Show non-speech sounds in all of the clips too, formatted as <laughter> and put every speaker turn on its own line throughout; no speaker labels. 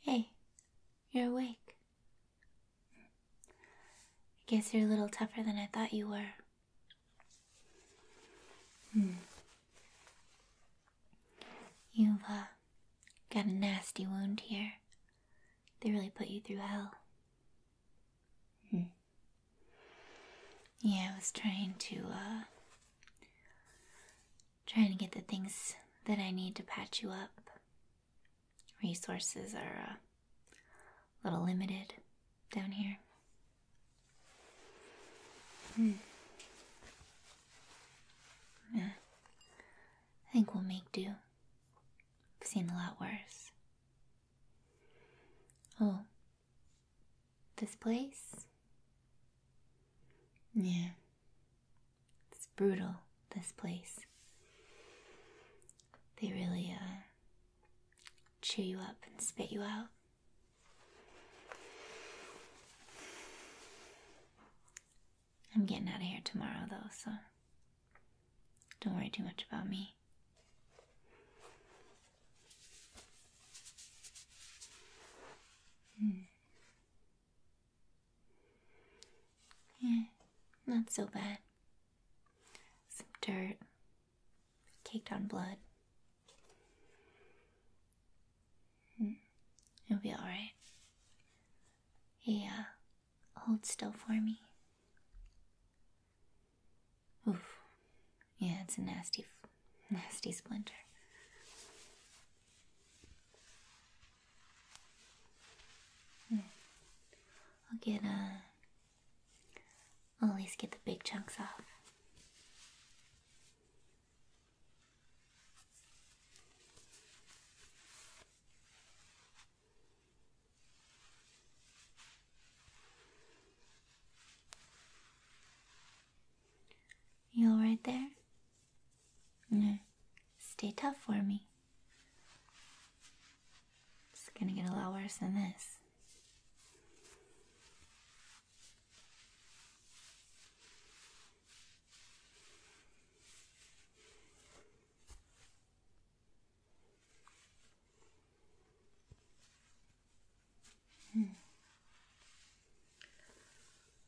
Hey, you're awake. I guess you're a little tougher than I thought you were. Hmm. You've uh, got a nasty wound here. They really put you through hell. Hmm. Yeah, I was trying to, uh, trying to get the things that I need to patch you up. Resources are uh, a little limited down here. Hmm. Yeah. I think we'll make do. I've seen a lot worse. Oh, this place? Yeah. It's brutal, this place. They really uh, chew you up and spit you out. I'm getting out of here tomorrow, though, so don't worry too much about me. Hmm. Yeah, not so bad. Some dirt, caked on blood. Hmm. It'll be alright. Yeah. Uh, hold still for me. Oof. Yeah, it's a nasty, nasty splinter. Hmm. I'll get, a. Uh, at least get the big chunks off. You are alright there? No. Stay tough for me. It's gonna get a lot worse than this. Hmm.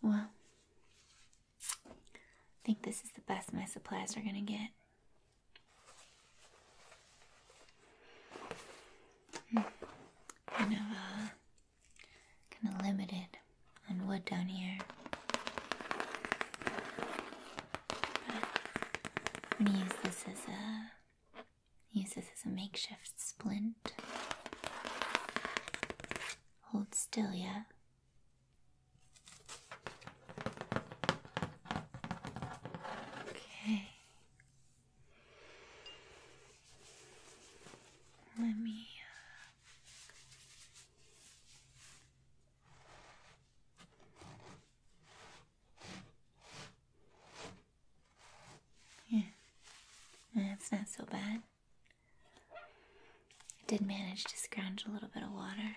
Well, I think this is the best my supplies are gonna get. Hmm. Kind of, uh, kind of limited on wood down here. I'm gonna use this as a use this as a makeshift splint. Hold still, yeah. Okay. Let me. Uh, yeah, that's not so bad. I did manage to scrounge a little bit of water.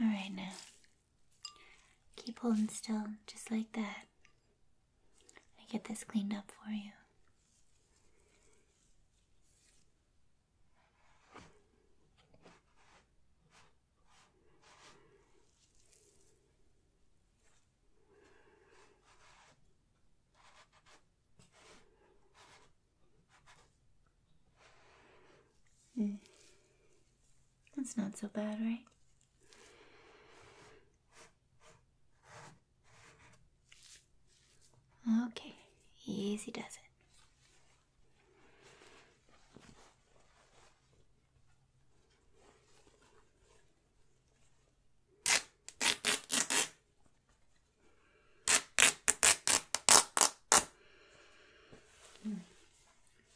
Alright now. Keep holding still, just like that. I get this cleaned up for you. That's not so bad, right? Okay, easy does it.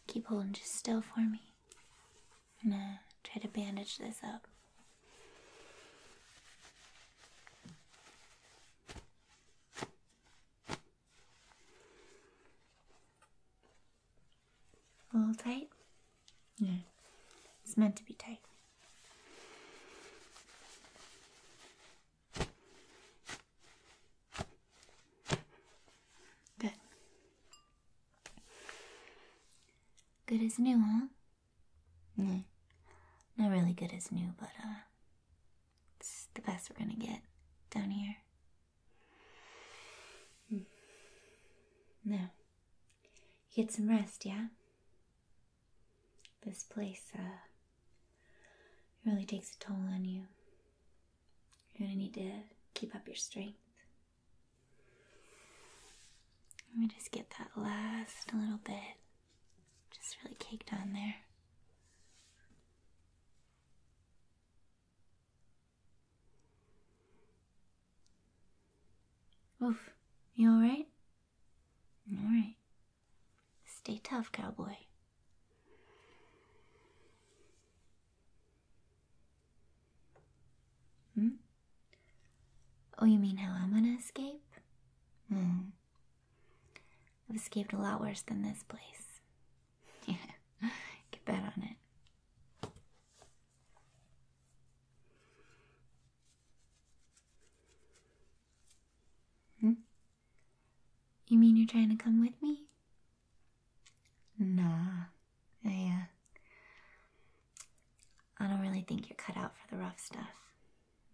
Keep holding just still for me. I'm gonna try to bandage this up. A little tight? Yeah. It's meant to be tight. Good. Good as new, huh? No, not really good as new, but uh, it's the best we're gonna get down here. Hmm. Now, get some rest, yeah? This place uh, really takes a toll on you. You're gonna need to keep up your strength. Let me just get that last little bit just really caked on there. Oof, you alright? All right. Stay tough, cowboy. Hmm? Oh, you mean how I'm gonna escape? Hmm. I've escaped a lot worse than this place. <laughs> Yeah, get bet on it. Hmm? You mean you're trying to come with me? Nah, I, I don't really think you're cut out for the rough stuff.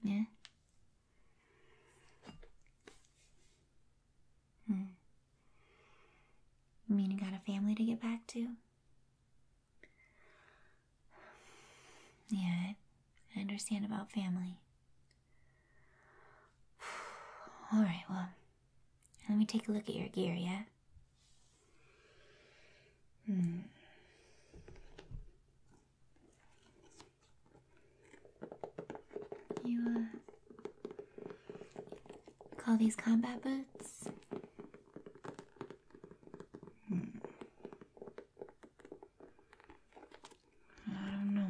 Yeah? Hmm. You mean you got a family to get back to? Yeah, I understand about family. <sighs> Alright, well, let me take a look at your gear, yeah? Hmm. You, uh, call these combat boots? Hmm. I don't know.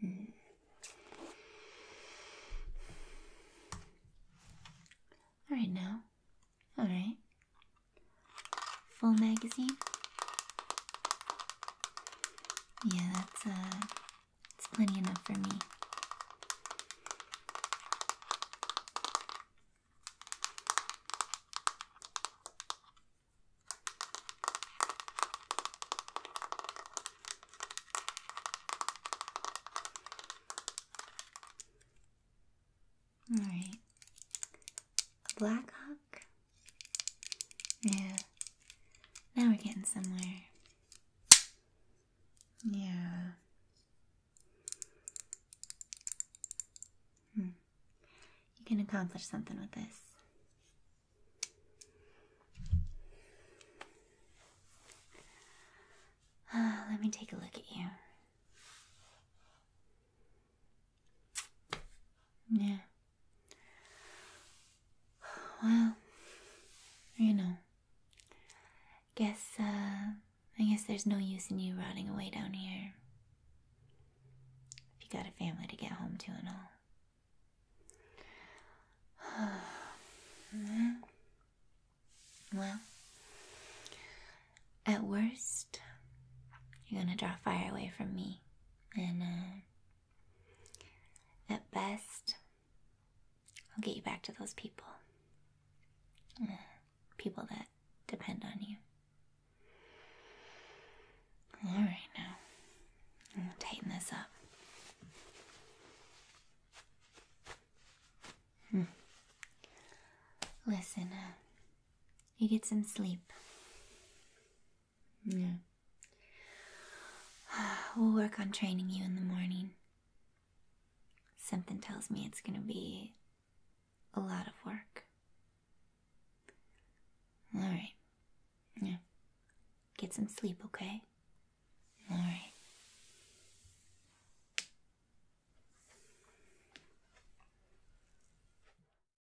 Hmm. now. All right. Full magazine. Yeah, that's uh it's plenty enough for me. All right. Black Hawk yeah. Now we're getting somewhere. Yeah. Hmm. You can accomplish something with this. Uh, let me take a look at you. Yeah. Well, you know, guess uh, I guess there's no use in you running away down here. If you got a family to get home to and all. <sighs> Well, at worst, you're gonna draw fire away from me, and uh, at best, I'll get you back to those people. Uh, people that depend on you. Alright, now. I'm going to tighten this up. Hmm. Listen, uh, you get some sleep. Yeah. <sighs> We'll work on training you in the morning. Something tells me it's going to be a lot of work. All right. Yeah. Get some sleep, okay? All right.